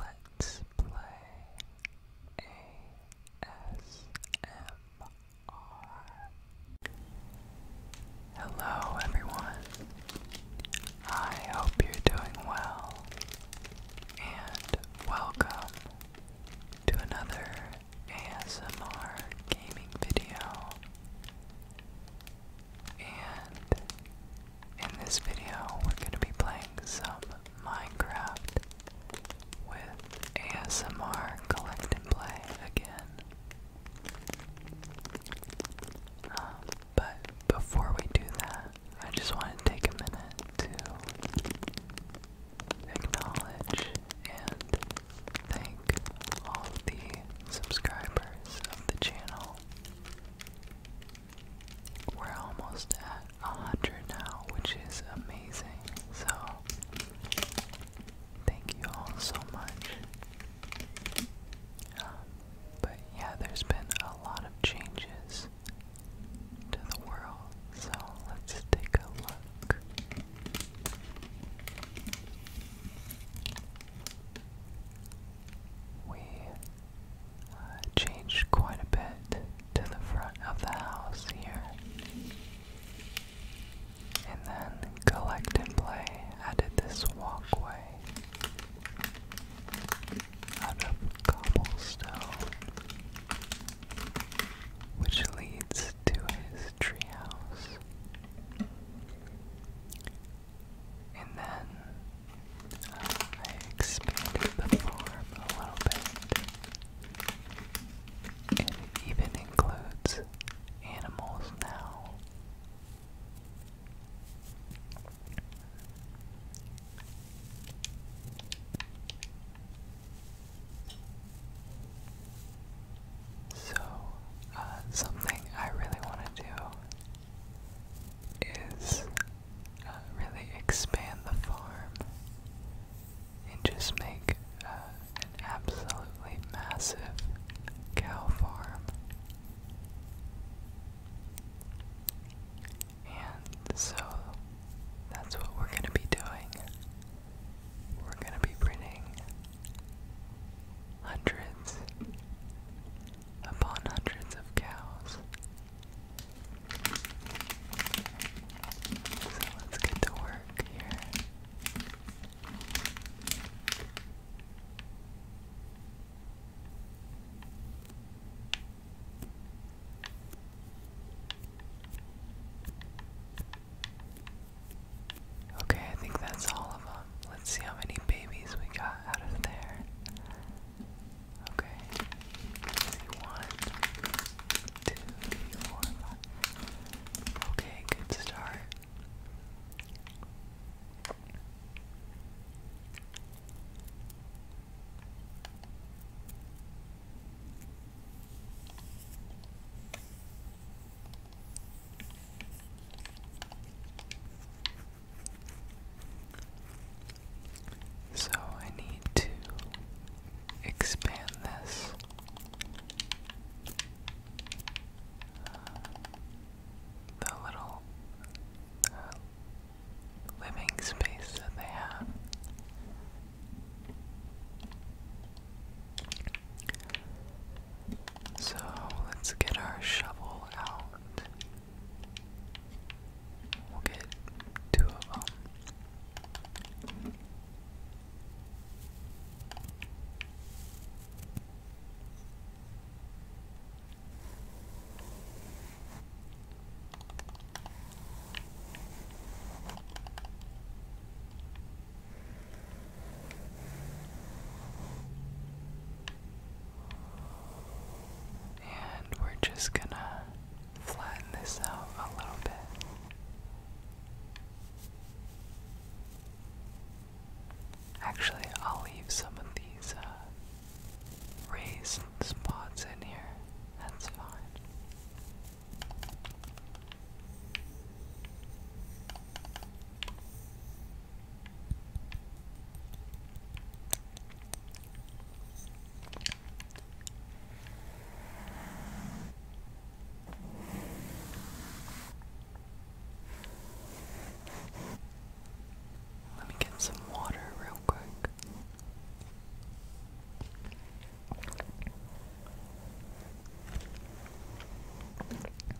Let's play ASMR. Hello, everyone. I hope you're doing well, and welcome to another ASMR gaming video. And in this video, we're going to be playing some Minecraft with ASMR Collect and Play again. Um, but before we do that, I just want to take a minute to acknowledge and thank all of the subscribers of the channel. We're almost at 100 now, which is amazing. So, thank you all so much. Um, but yeah, there's been a lot of changes to the world. So, let's take a look. We uh, changed quite a bit to the front of the house here. And then Collect and Play added this walkway out of cobblestone, which leads to his treehouse. And then uh, I expanded the form a little bit. And it even includes animals now. So, uh, something I really want to do is uh, really expand the farm and just make uh, an absolutely massive cow farm. And so that's what we're going to be doing. We're going to be breeding hundreds upon hundreds of cows. So let's get to work here. Okay, I think that's all of them let's see how many babies we got out of there. Okay. one, two, three, four, five. Okay, good start. So I need to expand this. Uh, the little uh, living space that they have. So let's get our shovel out. We'll get two of them. And we're just gonna flatten this out a little bit. Actually, I'll leave some of these uh, raised spots in here. That's fine. Let me get some water real quick.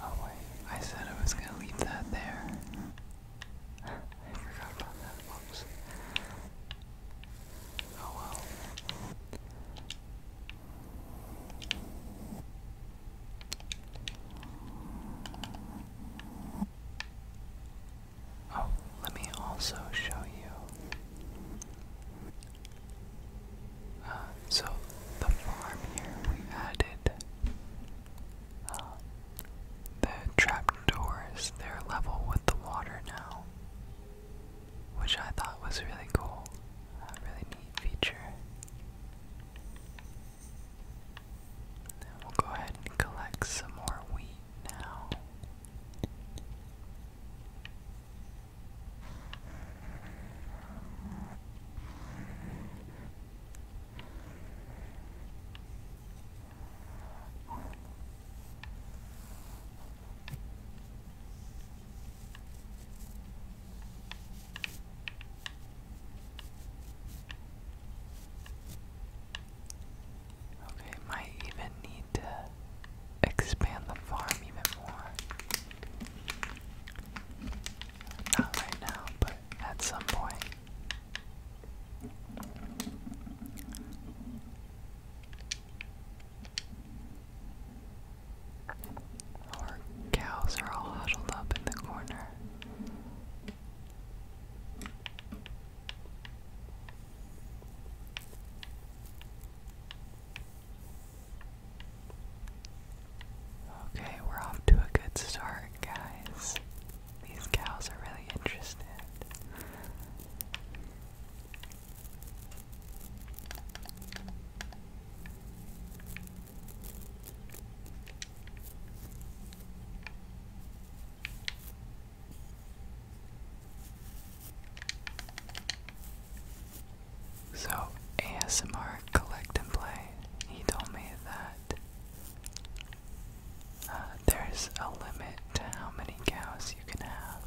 Oh wait, I said I was gonna leave that there. I forgot about that, whoops. Oh well. Oh, let me also show you um, so the farm here we added um, the trapdoors. They're level with the water now, which I thought was really cool. A really neat feature. And we'll go ahead and collect some more wheat now. Okay, might even need to expand the farm even more. Not right now, but at some point. Our cows are all huddled up in the corner. Okay, we're off to a good start, guys. These cows are really interested. So, ASMR Collect and Play, he told me that uh, there's a limit to how many cows you can have.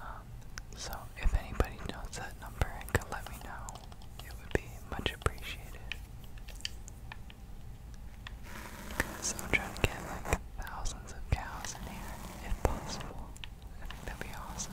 Um, so, if anybody knows that number and could let me know, it would be much appreciated. Because I'm trying to get like thousands of cows in here, if possible. I think that'd be awesome.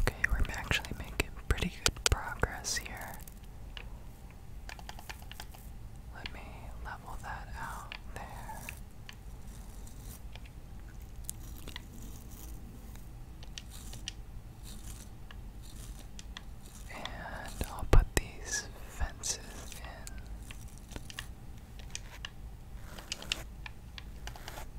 Okay, we're actually making pretty good progress here. Let me level that out there. And I'll put these fences in.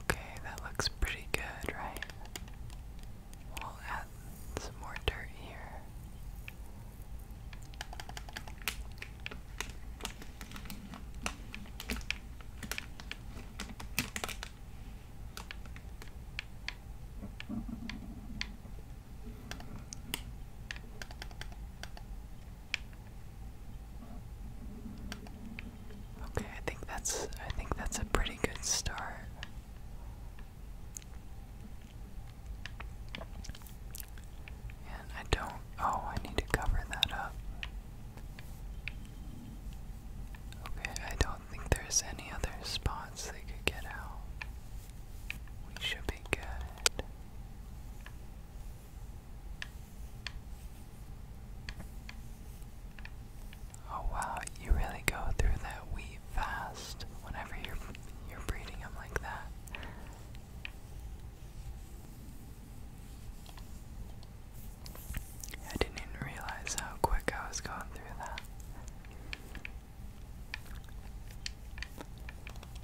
Okay, that looks pretty good, right? We'll add some more dirt here. Okay, I think that's I think that's a pretty good start. And I don't oh, I need to cover that up. Okay, I don't think there's any other spots they could get out. We should be good. Oh wow, you really go through that wheat fast whenever you're you're breeding them like that. I didn't even realize how quick I was going through that.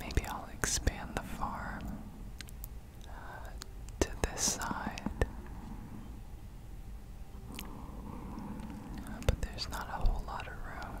Maybe I'll expand the farm uh, to this side. but there's not a whole lot of room.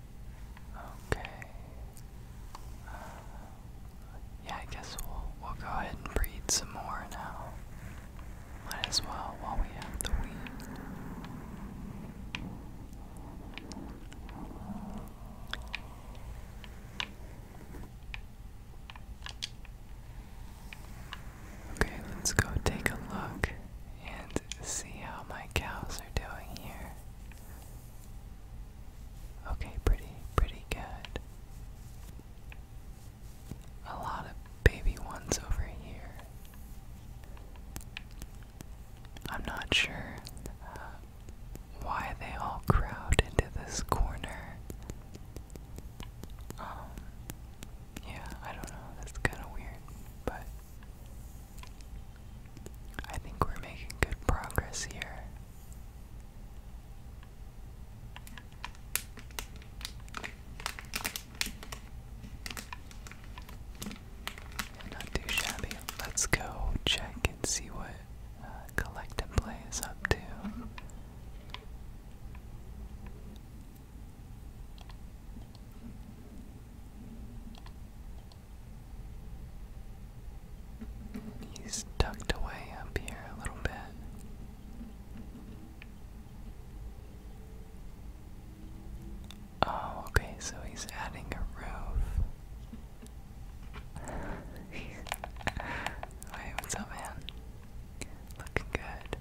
Okay. Uh, yeah, I guess we'll we'll go ahead and breed some more now. Might as well while we have the weed. Okay, let's go take a look and see how my cows are doing here. Okay, pretty, pretty good. A lot of baby ones over here. I'm not sure uh, why they all crowd into this corner. Um, yeah, I don't know. That's kind of weird, but I think we're making good progress here. Not too shabby. Let's go check and see what uh, Collect and Play is up to. He's tucked away up here a little bit. Oh, okay, so he's adding a roof. Wait, what's up, man? Looking good.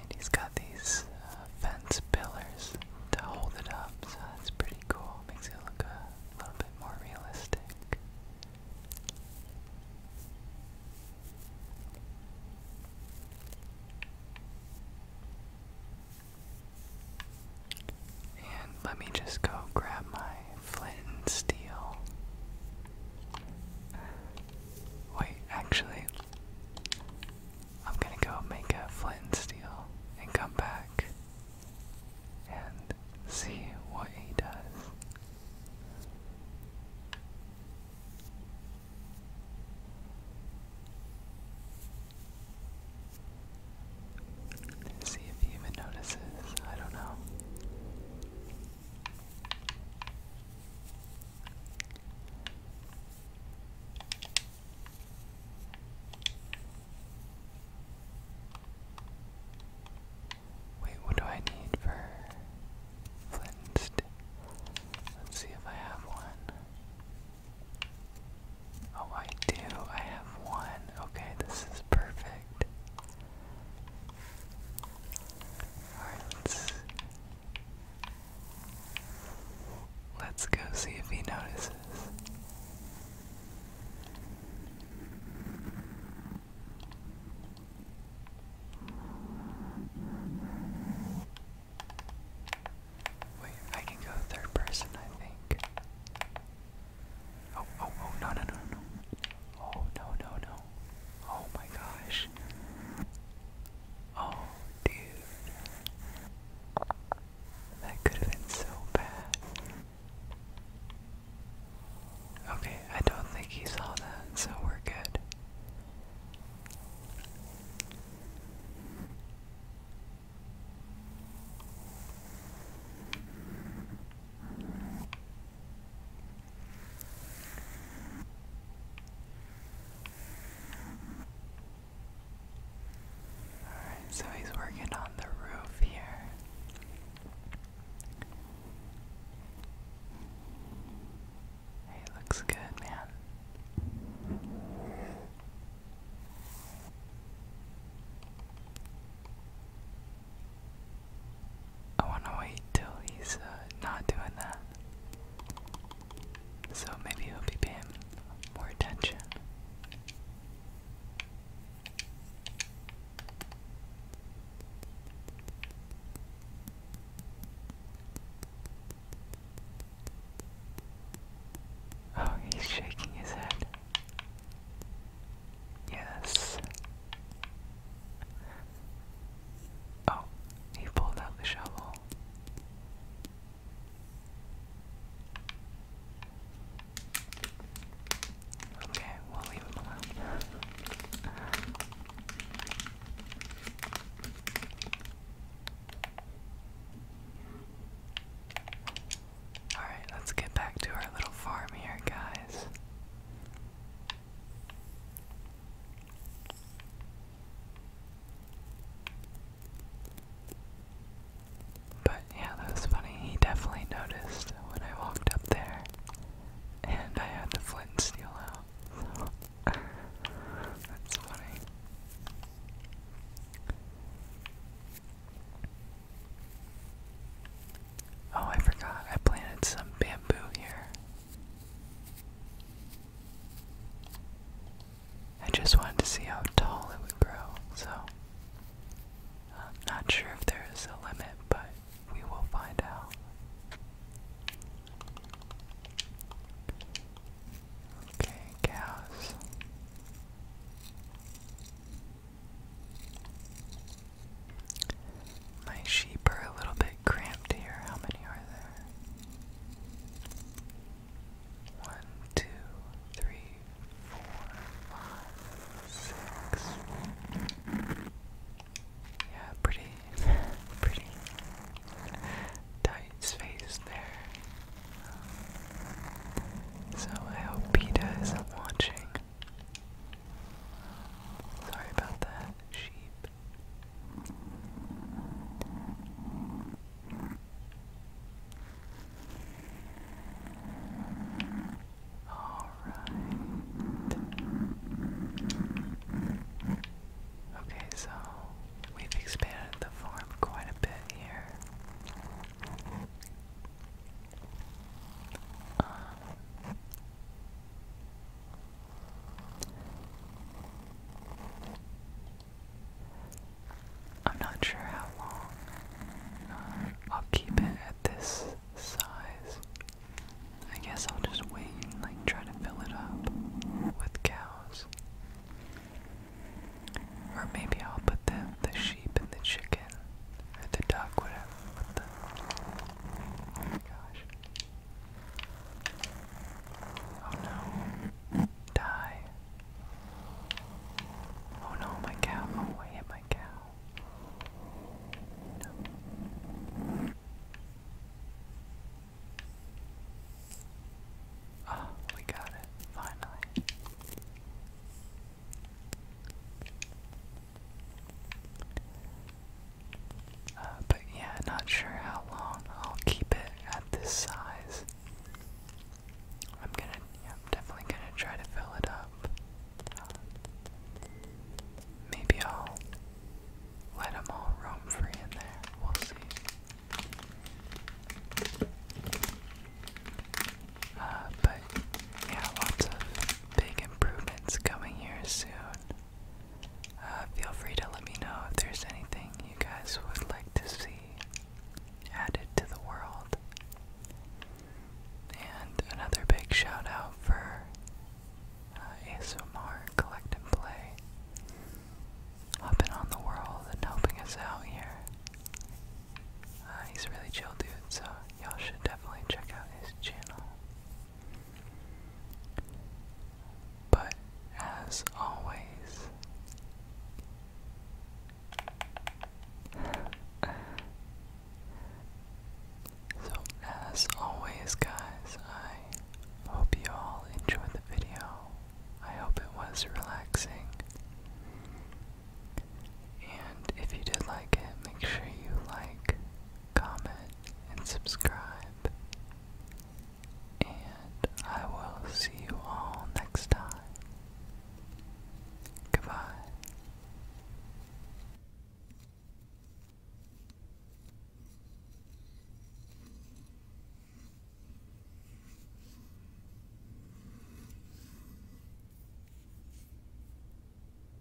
And he's these uh, fence pillars to hold it up, so that's pretty cool. Makes it look a little bit more realistic. And let me just go grab my flint and steel. Wait, actually, I'm gonna go make a flint and steel and come back and see what he does. See if he even notices. I don't know. Wait, what do I need for flint Let's see if I have one. Oh, I do. I have one. Okay, this is perfect. Alright, Let's go see if he notices. Wait, I can go third person, I think. Oh, oh, oh, no, no, no, no. Oh, no, no, no. Oh my gosh. Oh, dude. That could have been so bad. Okay, I don't think he saw that, so we're good. Alright, so he's working on the roof here. Hey, looks good, man. I want to wait till he's uh, not doing that. So maybe he'll be paying more attention. Oh, he's shaking his head. Yes. Oh, he pulled out the shovel. Okay, we'll leave him alone. Alright, let's get back to our little farm here, guys. But yeah, that was funny. He definitely noticed when I walked up there and I had the flint and steel out. that's funny. Oh, I forgot. I planted some bamboo here. I just wanted to see how tall it would grow, so I'm um, not sure if there is a limit, but we will find out. Okay, cows. My sheep are a little bit cramped here. How many are there? One, two, three, four, five, six. Yeah, pretty, pretty tight space there. So I hope Peta is watching. Sorry about that, sheep. All right. Okay, so we've expanded the farm quite a bit here. Um, I'm not sure how long uh, I'll keep it at this size. I guess I'll just wait and like try to fill it up with cows. Or maybe I'll put the, the sheep and the chicken, or the duck, whatever. oh my gosh. Oh no. Die. Oh no, my cow. Oh, my cow. No. Ah, we got it, finally. Uh, but yeah, not sure how long I'll keep it at this size. I'm gonna, I'm definitely gonna try to fill it up. Um, maybe I'll let them all roam free in there. We'll see. Uh, but yeah, lots of big improvements coming here soon. Uh, feel free to let me know if there's anything you guys would like to see added to the world. And another big shout out for uh, ASMR Collect and Play, and on the world and helping us out here. Uh, he's a really chill dude, so y'all should definitely check out his channel. But as always, so as always, guys, I hope you all enjoyed the video. I hope it was relaxing. And if you did like it, make sure you like, comment, and subscribe. And I will see you all next time. Goodbye.